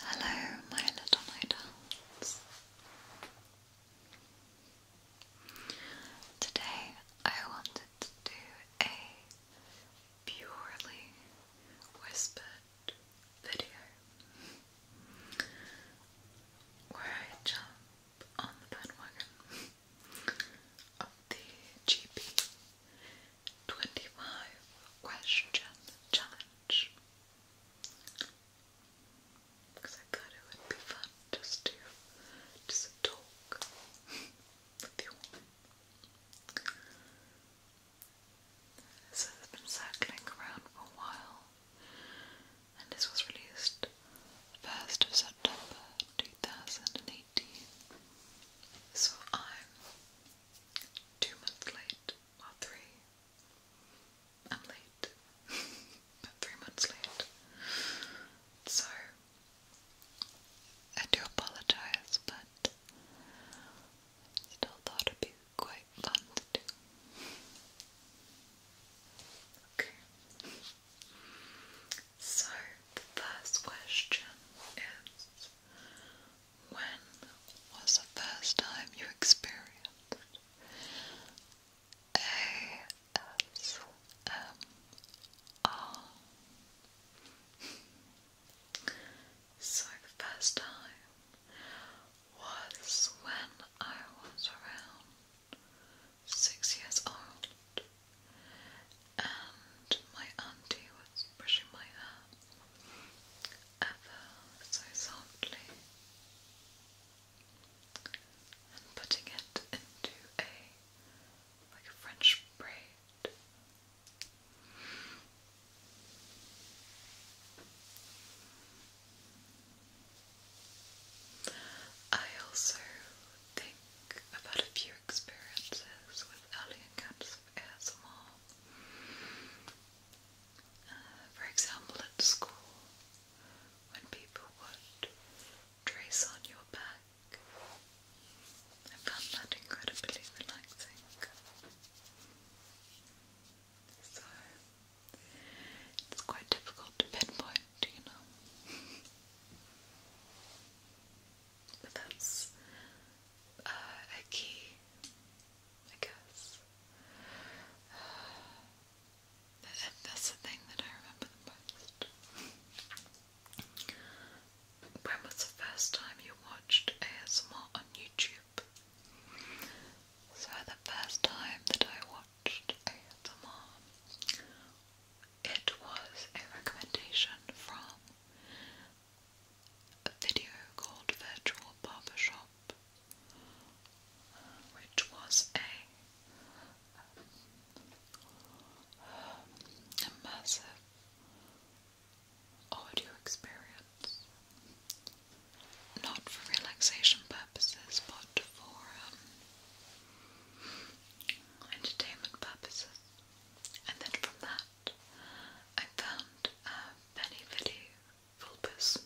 Hello, my little night Today I wanted to do a purely whispered video where I jump on the bandwagon of the GP 25 question challenge because I thought it would be fun just to just talk with you so it's been circling around for a while, and this was released first of September two thousand and eighteen. So I'm two months late, or three. I'm late, three months late. So I do apologise, but still thought it'd quite fun to do. Okay. So the first question is when was the first time you experienced ASMR? So the first time was when I was around six years old and my auntie was brushing my hair ever so softly and putting it into a like a French braid I also think I've had a few experiences with early encounters of ASMR. Uh, for example, at school, when people would trace on your back, I found that incredibly relaxing. So it's quite difficult to pinpoint, you know. but that's uh, a key, I guess. Uh, that's the thing that I remember the most. When was the first time you watched ASMR on YouTube? So the first time that I watched ASMR, it was a recommendation from a video called Virtual Barber Shop, which was a um, immersive audio experience. Not for relaxation purposes, but for um, entertainment purposes. And then from that, I found uh, Penny Vidi Vulpes,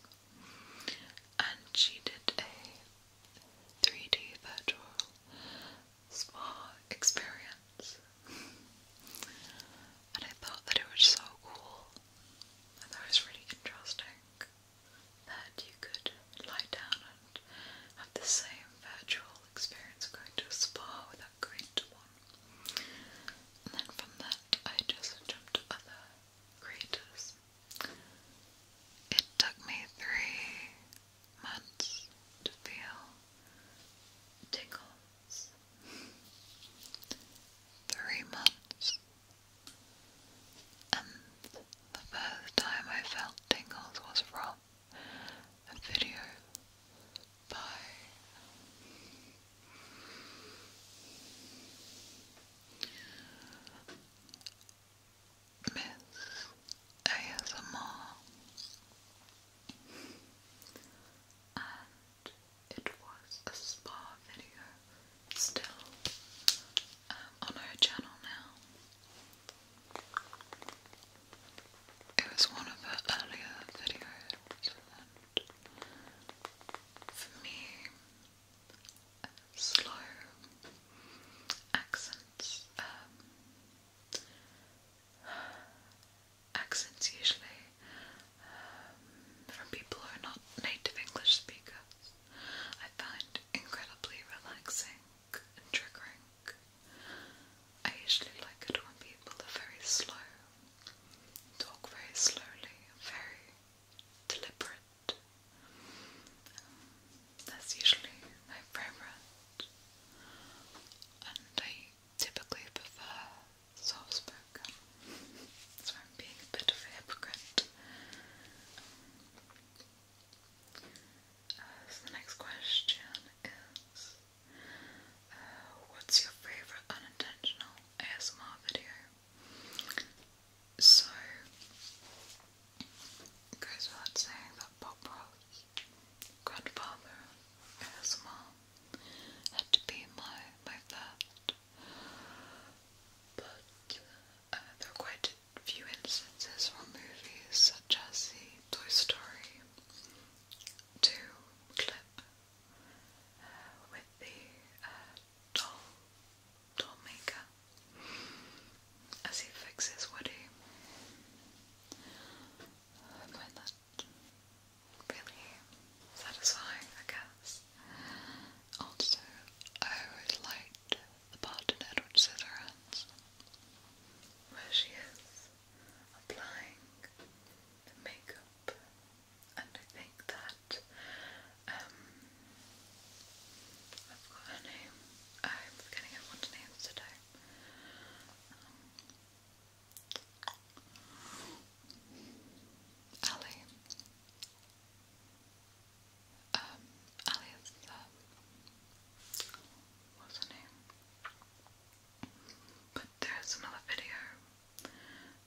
and she did a 3D virtual spa experience and I thought that it was so cool. I thought it was really interesting that you could lie down and have the same virtual experience going to a spa without going to one. And then from that, I just jumped to other creators. It took me three months to feel tingles three months. And the first time I felt tingles was from a video by Miss ASMR it was a spa video still um, on her channel now. It was one of her earlier videos, and for me, slow accents. Um, accents usually um, from people who are not native English speakers. I find incredibly relaxing and triggering. I usually like it when people are very slow, talk very slowly, very deliberate. Um, that's usually my favorite, and I typically prefer soft spoken. That's I'm being a bit of a hypocrite. Uh, so the next question is uh, What's your favourite unintentional ASMR video? So, goes without saying that Bob Ross, Grandfather ASMR, had to be my my first. But uh, there are quite a few instances from movies such as Toy Story 2 clip uh, with the uh, doll, doll maker as he fixes Woody really satisfying, I guess. Also, I always liked the part in Edward Scissorhands where she is applying the makeup, and I think that um, I forgot her name. I'm forgetting everyone's names today. Um, Ali. Um, Ali is the. Um, But there's another video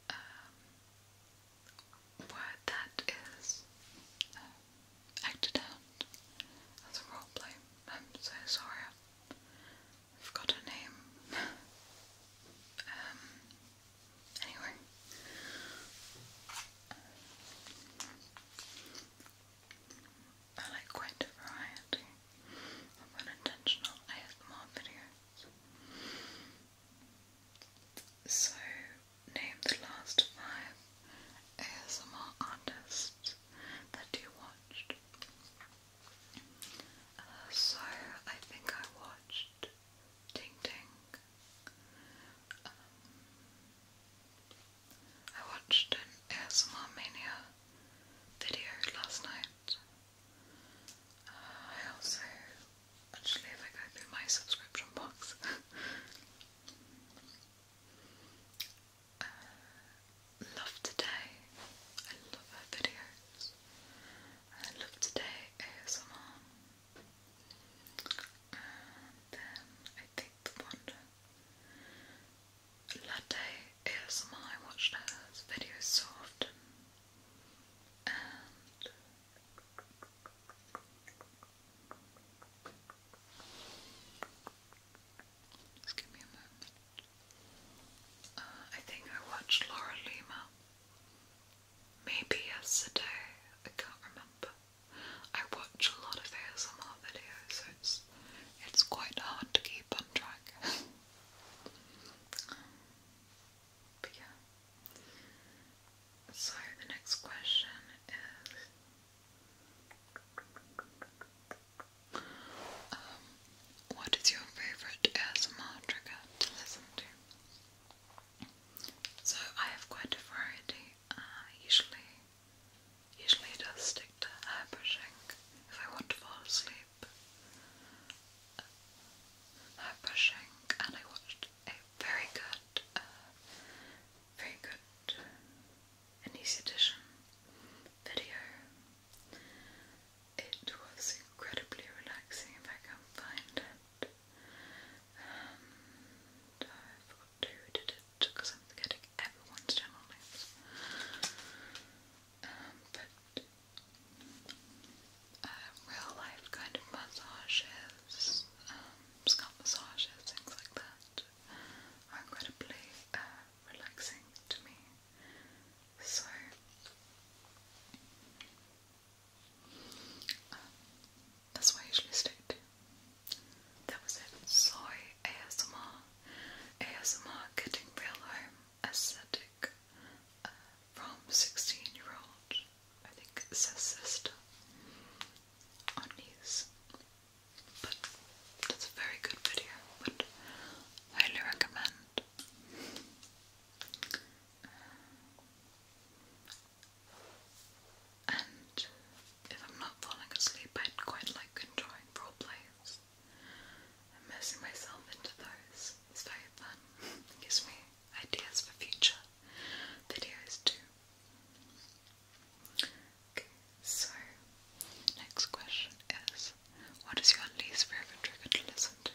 um, where that is um, acted out as a roleplay. I'm so sorry. I forgot her name. Um, anyway. I like quite a variety of unintentional ASMR videos. So, name the last five ASMR artists that you watched. Uh, so I think I watched Ting Ting. Um, I watched an ASMR Mania video last night. Uh, I also actually if I go through my subscription box uh, love today. I love her videos. I love today ASMR. then I think the one Latte ASMR, I watched her videos so often. just give me a moment. Uh, I think I watched Laura Lima maybe yesterday. I can't remember. I watch a lot of ASMR videos, so it's it's quite hard to keep track. but yeah. So the next question is um, what is your favourite ASMR trigger to listen to? So I have quite a variety. I uh, usually, usually just stick to hair brushing if I want to fall asleep. hair brushing, and I watched a very good, uh, very good, an easy edition video it was incredibly relaxing if I can find it. I forgot who did it because I'm forgetting everyone's channel names. Um, but uh, real life kind of massages, um, scalp massages, things like that are incredibly uh, relaxing to me. So, that's what I usually stick to. That was it. Sorry, ASMR. ASMR getting real home aesthetic uh, from 16 year old. I think it says sister on these. But that's a very good video. Would highly recommend and uh, if I'm not falling asleep, I'd quite like enjoying role plays. Immersing myself into those is very fun. gives me ideas for future videos too. Okay, so next question is what is your least favorite trigger to listen to?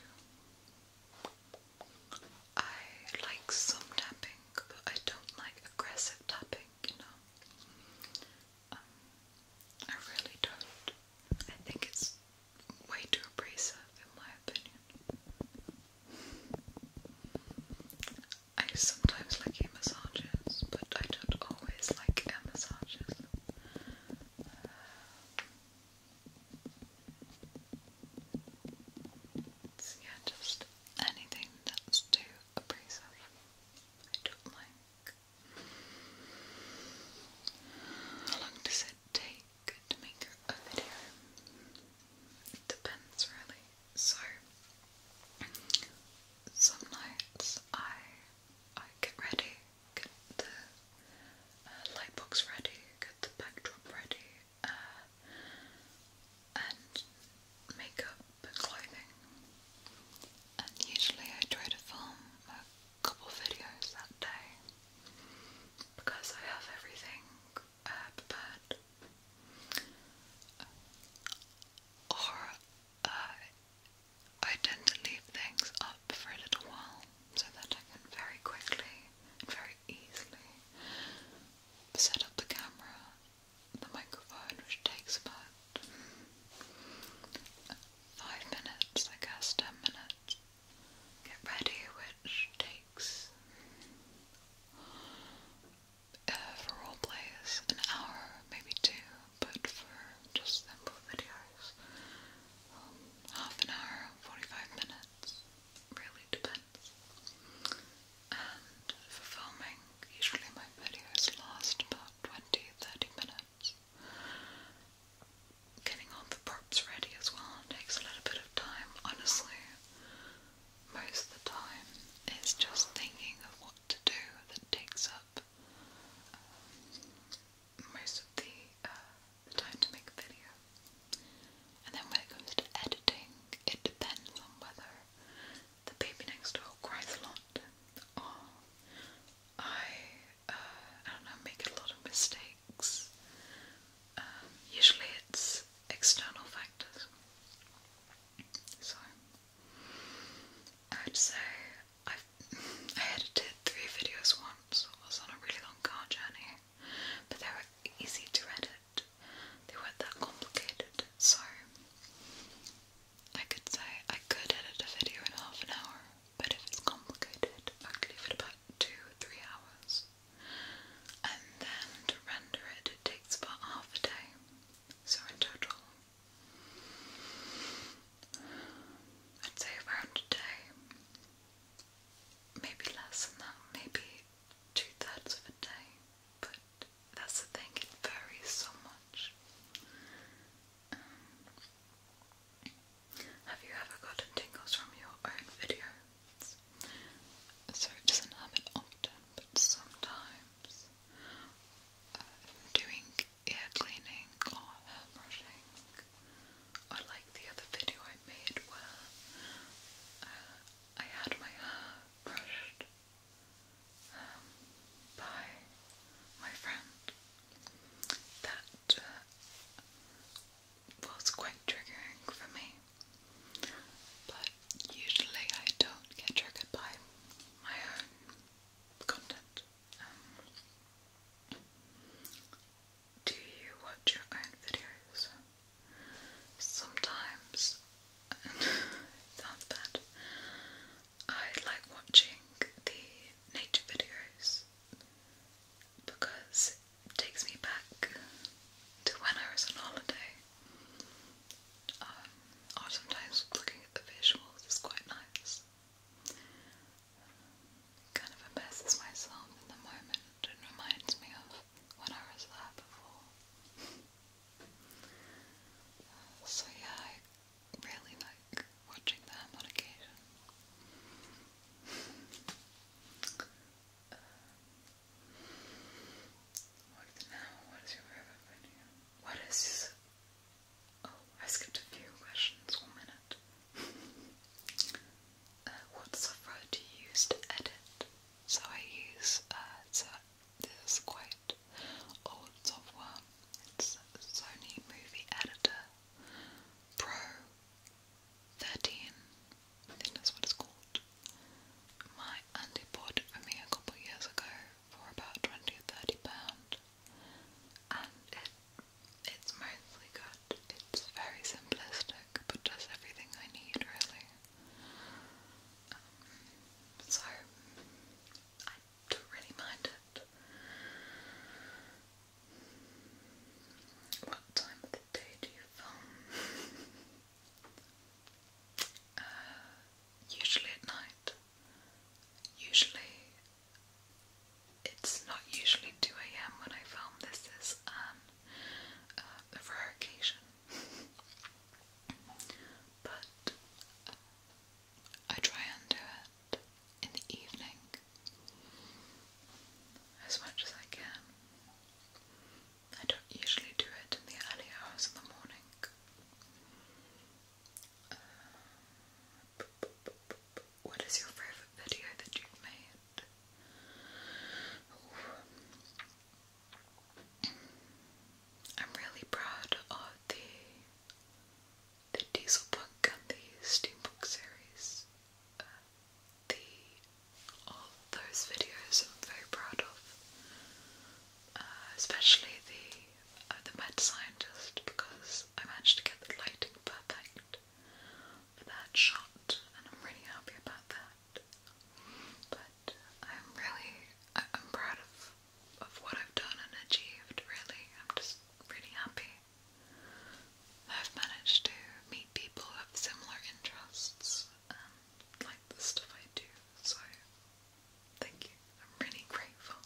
I like some tapping, but I don't like aggressive tapping, you know? Um, I really don't. I think it's way too abrasive, in my opinion. I sometimes like massages, but I don't always like massages. So yeah, just anything that's too abrasive, I don't like. How long does it take to make a video? It depends really. So some nights I I get ready get the uh, ready, get the backdrop ready, uh, and makeup and clothing. And usually I try to film a couple videos that day because I have everything uh, prepared. Or uh, I tend to leave things up for a little while so that I can very quickly and very easily set up the camera, the microphone, which takes about five minutes, I guess, ten minutes. Get ready, which takes uh, for all players an hour, maybe two but for just simple videos, um, half an hour, 45 minutes, really depends. And for filming, usually my videos last about 20 30 minutes. Getting all the props ready as well takes a little bit of time, honestly. Most of the time, it's just thinking of what to do that takes up most of uh, the, time to make a video. And then when it comes to editing, it depends on whether the baby next door cries a lot I, uh, I don't make a lot of mistakes. Um, usually it's external factors. So I'd say i edited three videos once. I was on a really long car journey, but they were easy to edit. They weren't that complicated, so I could say I could edit a video in half an hour. But if it's complicated, I could leave it about two or three hours. And then to render it, it takes about half a day. So in total, I'd say around a day. Maybe less than that, maybe two thirds of a day. But that's the thing, it varies so much. Um, have you ever gotten tingles from your own videos? So it doesn't happen often, but sometimes uh, doing yeah, cleaning hair brushing, or like the other video I made where uh, I had my hair brushed um, by my friend. That uh, was quite triggering for me, but usually I don't get triggered by my own content do you watch your own videos? Sometimes, that's bad. I like watching the nature videos because it takes me back to when I was on holiday. or um, sometimes looking at the visuals is quite nice. Kind of embarrasses myself in the moment. It reminds me of when I was there before. Uh, so yeah, I really like watching them on occasion. Uh, what now? What is your favorite video? What is Oh, I skipped a few questions. One minute. Uh, what software do you use to edit? So I use uh, so quite old software. It's Sony Movie Editor Pro 13. I think that's what it's called. My auntie bought it for me a couple of years ago for about 20 or 30 pounds and it it's mostly good. It's very simplistic, but does everything I need really. Um, so I don't really mind it. What time of the day do you film? Uh, usually at night. Usually, it's not usually 2 a.m. when I film, this is um, an, rare occasion. but uh, I try and do it in the evening as much as I can. I don't usually do it in the early hours of the morning what is your favorite video that you've made? I'm really proud of the the Dieselpunk and the Steampunk series. Uh, the all those videos I'm very proud of. Uh, especially the uh, the med scientist because I managed to get the lighting perfect for that shot, and I'm really happy about that. But I'm really I am proud of of what I've done and achieved. Really, I'm just really happy. I've managed to meet people who have similar interests and um, like the stuff I do, so Thank you. I'm really grateful.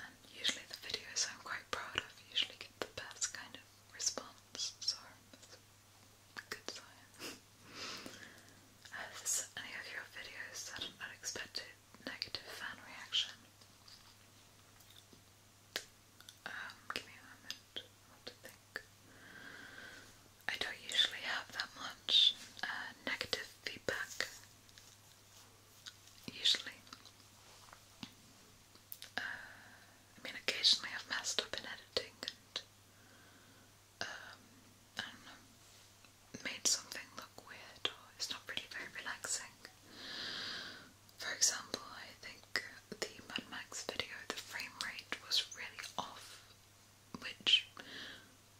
Um, usually the videos I'm quite proud of usually get the best kind of response, so good sign. Have any of your videos had an unexpected negative fan reaction? Um, give me a moment. I want to think. I don't usually have that much uh, negative feedback. Usually. Uh, I mean, occasionally I've messed up in editing and, um, made something look weird or it's not really very relaxing. For example, I think the Mad Max video, the frame rate was really off which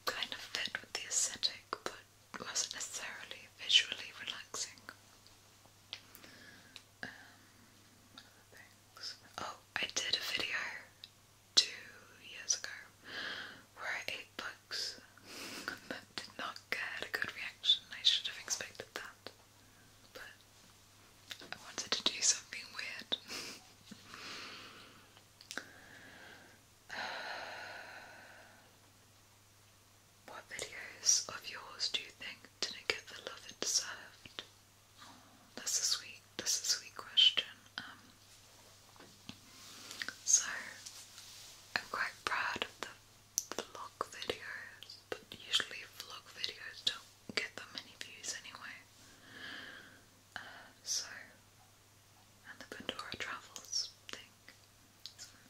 kind of fit with the aesthetic but wasn't necessarily visually relaxing. Um, oh, I did a video two years ago where I ate bugs that did not get a good reaction. I should have expected that. But I wanted to do something weird. What videos of yours do you think didn't get the love it deserved? Oh, that's a sweet, that's a sweet question. Um, so I'm quite proud of the vlog videos, but usually vlog videos don't get that many views anyway. Uh, so and the Pandora Travels thing.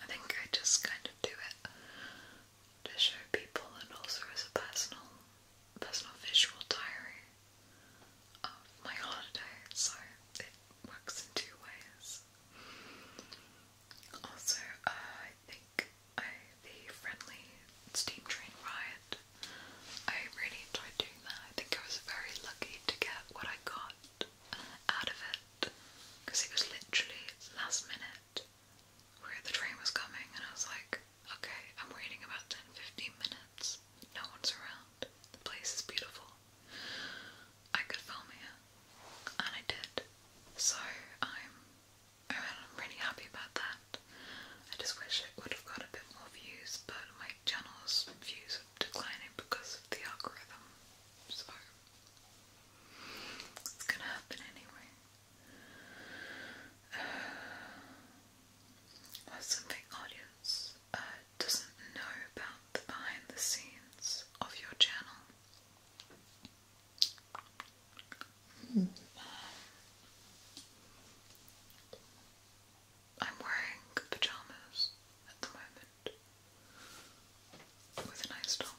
I think I just kind of do it to show people and also as a personal personal visual diary of my holiday, so it works in two ways. Also, uh, I think I, the friendly steam train ride I really enjoyed doing that. I think I was very lucky to get what I got uh, out of it because it was literally last minute where the train was coming, and I was like, okay, I'm waiting about 10 15 minutes. No one's around. The place is beautiful. I could film here, and I did. So I'm, I'm really happy about that. I just wish it would have got a bit more views, but my my channel's views declining because of the algorithm, so it's gonna happen anyway. Uh, something audience uh, doesn't know about the behind the scenes of your channel. Hmm. Um, I'm wearing pajamas at the moment with a nice top.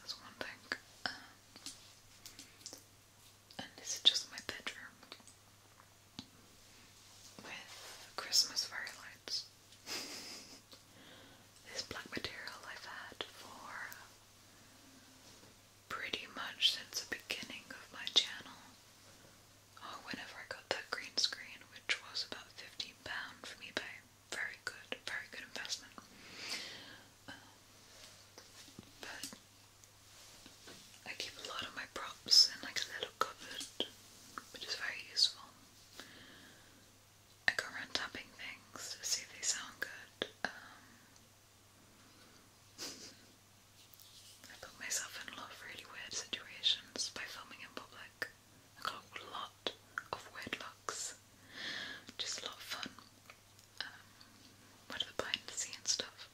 That's one thing. Um, and this is just my bedroom with Christmas fairy lights. this black material I've had for pretty much since the beginning of my channel. Oh, whenever I got that green screen, which was about £15 from eBay. Very good, very good investment. Uh, but I keep a lot of my props in like a little cupboard, which is very useful. I go around tapping things to see if they sound good. Um, I put myself in a lot of really weird situations by filming in public. I got a lot of weird looks, which a lot of fun. Um, what are the behind the scenes stuff?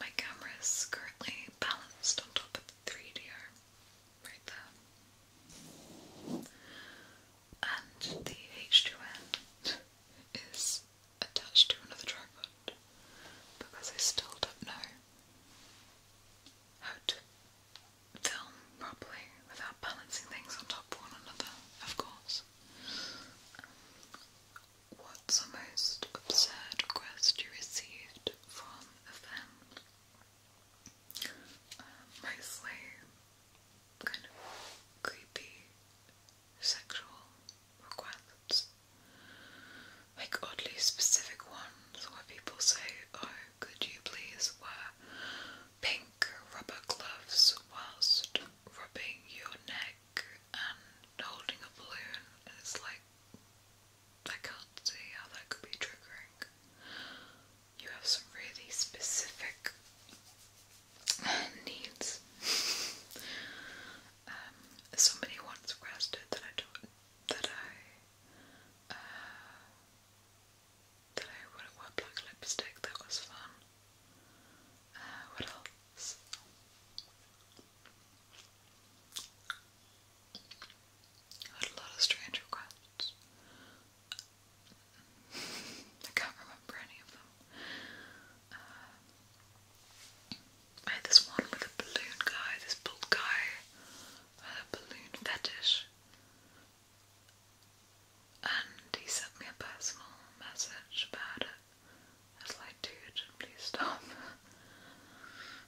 My camera is currently balanced on top of the 3DR, right there. And the H2N is attached to another tripod because I still don't know how to film properly without balancing things on top of one another, of course. Um, what's the most absurd request you received from a fan? Uh, mostly kind of creepy sexual requirements. Like oddly specific ones where people say, Oh, could you please wear pink rubber gloves whilst rubbing your neck and holding a balloon? And it's like, I can't see how that could be triggering. You have some really specific needs. Um, somebody once requested that I do, that I uh, that I wouldn't wear black lipstick. That was fun. Uh, what else? I had a lot of strange requests. I can't remember any of them. Uh, I this one with a balloon guy, this bald guy, a balloon fetish. And he sent me a personal message about it. I like, dude, please stop.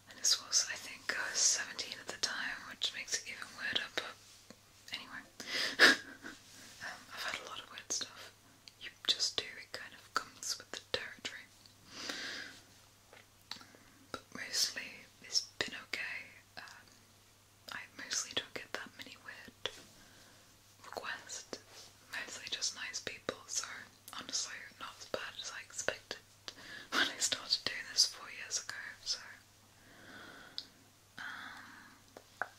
And this was, I think, I was 17 at the time, which makes it even weirder, but anyway. Um, I've had a lot of weird stuff you just do, it kind of comes with the territory. But mostly it's been okay. Um, I mostly don't get that many weird requests, mostly just nice people, so honestly, not as bad as I expected when I started doing this four years ago, so. Um,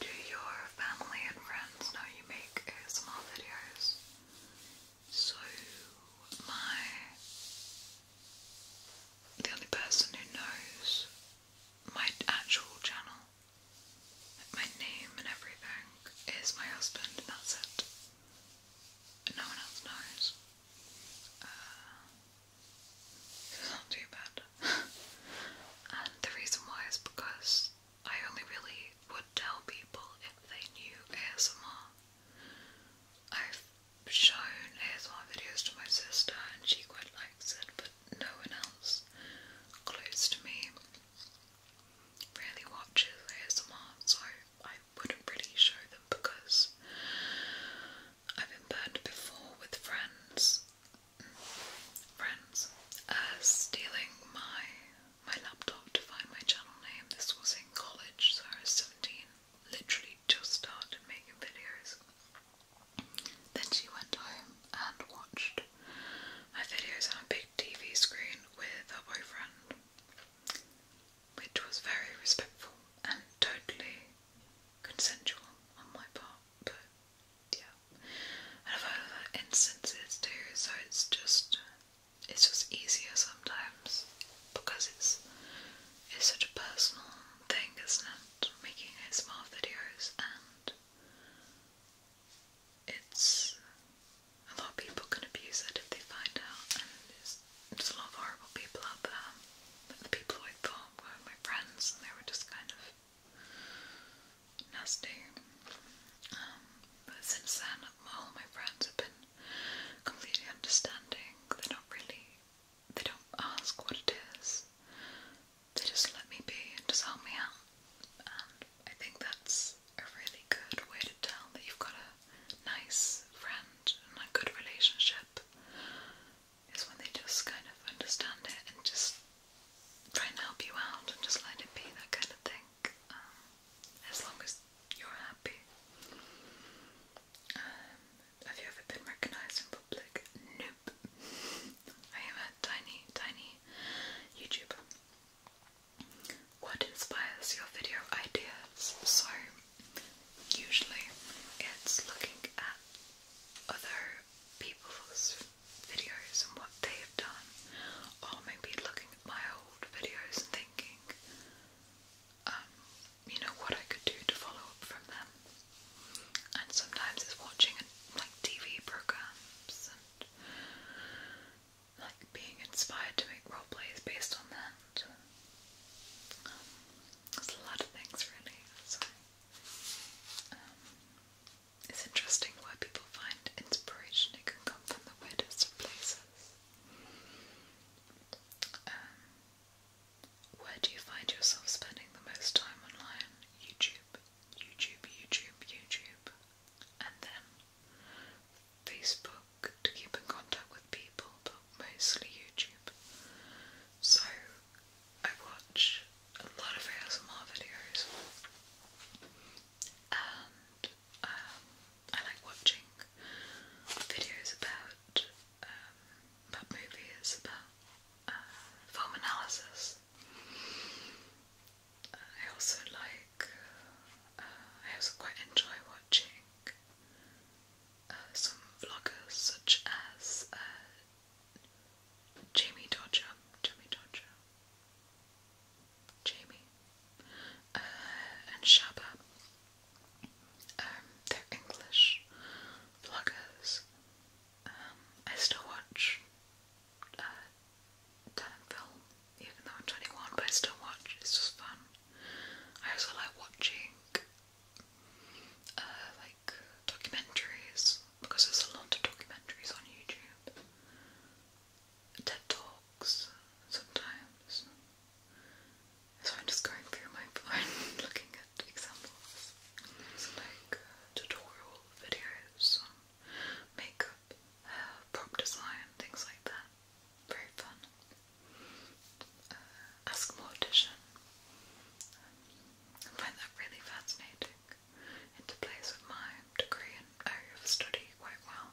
do your family and friends know you make ASMR videos? So, my. the only person who knows my actual channel, my name and everything, is my husband, and that's it. No one else knows. Uh, it's not too bad and the reason why is because I only really would tell people if they knew ASMR. I've shown ASMR videos to my sister and she quite likes it, but no one else close to me really watches ASMR, so I wouldn't really show them because I've been burned before with friends friends uh, stealing my my laptop to find my channel name. This was in college, so I was seventeen, literally just started making videos. Then she went home and watched my videos on a big TV screen with her boyfriend, which was very respectful and totally consensual on my part, but yeah, and I've had instances too, so it's just it's just easier sometimes because it's it's such a personal thing, isn't Making ASMR videos and it's a lot of people can abuse it if they find out, and there's a lot of horrible people out there. But the people I thought were my friends, and they were just kind of nasty. Um, but since then, all my friends have been completely understanding. They don't really, they don't ask what it is. They just let me be and just help me out. And I think that's a really good way to tell that you've got a nice friend and a good relationship is when they just kind of understand it and just try and help you out and just let it be, that kind of thing. Um, as long as you're happy. Um, have you ever been recognised in public? Nope. I am a tiny, tiny YouTuber. What inspires your video ideas? So, usually it's looking at other people's videos and what they have done, or maybe looking at my old videos and thinking, um, you know, what I could do to follow up from them. And sometimes it's watching like TV programs and like being inspired to make role plays based on that. Um, there's a lot of things really. Sorry. Um, it's interesting why people find inspiration. It can come from the weirdest places. Um, where do you find yourself spending the most time online? YouTube, YouTube, YouTube, YouTube. And then Facebook to keep in contact with people, but mostly YouTube. So I watch a lot of ASMR videos and um, I like watching videos about um, about movies, about uh, film analysis. I also like, uh, I also quite enjoy watching uh, some vloggers such as Jamie Dodger, Jamie Dodger, Jamie, uh, and Shaba. Um, they're English vloggers. Um, I still watch uh, even though I'm 21, but I still watch, it's just fun. I also like watching uh, documentaries because there's a lot of documentaries on YouTube. TED Talks sometimes. So I'm just going through my phone looking at examples. like uh, tutorial videos on makeup, prop design, things like that. Very fun. Uh, ask a mortician. I find that really fascinating into place with my degree and area of study quite well.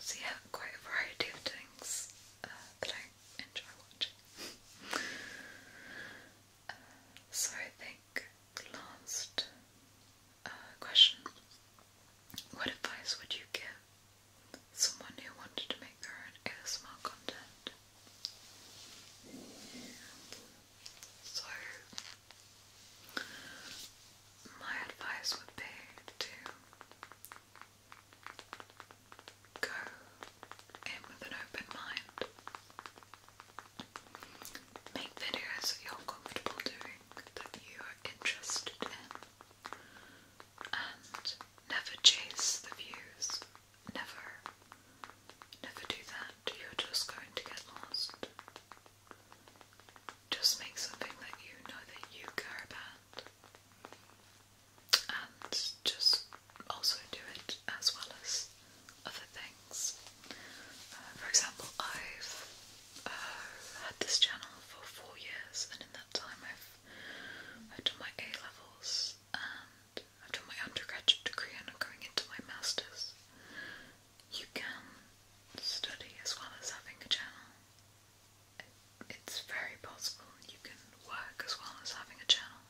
So yeah, quite a variety of things uh, that I enjoy watching. Uh, so I think last uh, question, what advice would you give someone who wanted to make their own ASMR content. So, my advice would be to go in with an open mind. Make videos that you're comfortable doing, that you are interested in, and never chase the views. Never, never do that. You're just going to get lost. Just make something that you know that you care about. And just also do it as well as other things. Uh, for example, I've uh, had this channel for four years, and in that time, I've I've done my A levels and I've done my undergraduate degree and I'm going into my masters. You can study as well as having a channel. It's very possible you can work as well as having a channel.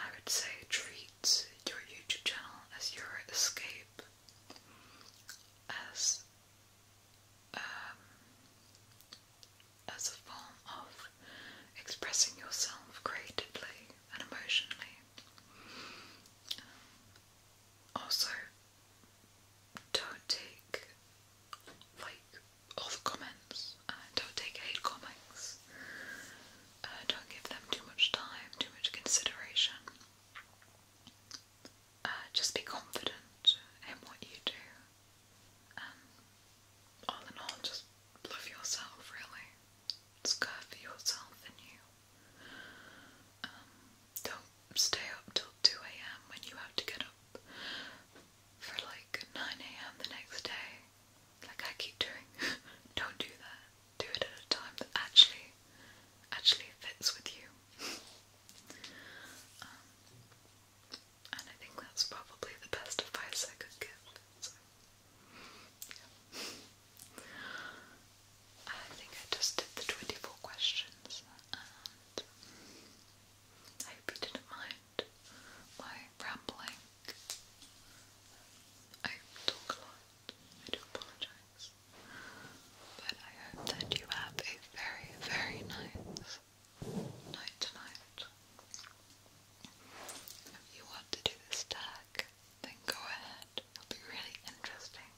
I would say treat your YouTube channel as your escape, as um, as a form of expressing yourself creatively and emotionally. Um, also, don't take like all the comments. Uh, don't take hate comments. Uh, don't give them too much time, too much consideration. Uh, just be confident in what you do um, all in all, just love yourself, really. It's good for yourself and you. Um, don't stay up till 2 a.m. when you have to get up for like 9 a.m. the next day. Like I keep doing. don't do that. Do it at a time that actually, actually fits with you. Um, and I think that's probably the best advice I could give. I think I just did the 24 questions, I hope you didn't mind my rambling. I talk a lot, I do apologize. But I hope that you have a very, very nice night tonight. If you want to do this tag, then go ahead. It'll be really interesting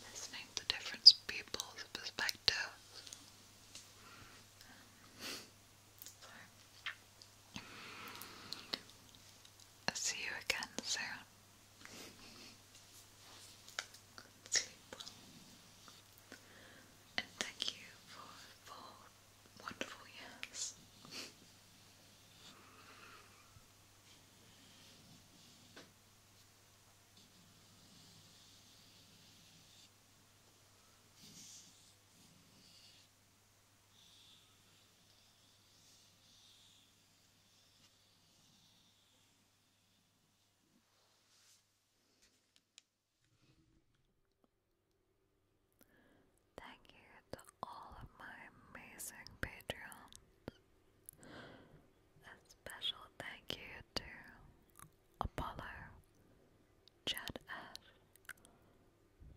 listening to different people's perspectives. I'll see you again soon. Sleep well and thank you for four wonderful years. Thank you to all of my amazing patrons. A special thank you to Apollo, Chad Ash,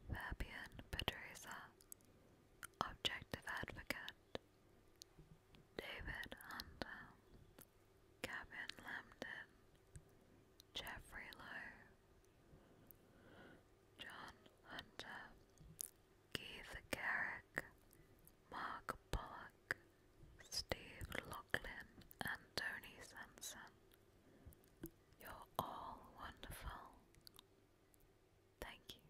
Fabian Patriza, Objective Advocate, David Hunter, Gavin Lambden, Jeffrey Lowe, John Hunter, Keith Garrick, Mark Pollock, Steve Lachlan, and Tony Sanson. You're all wonderful. Thank you.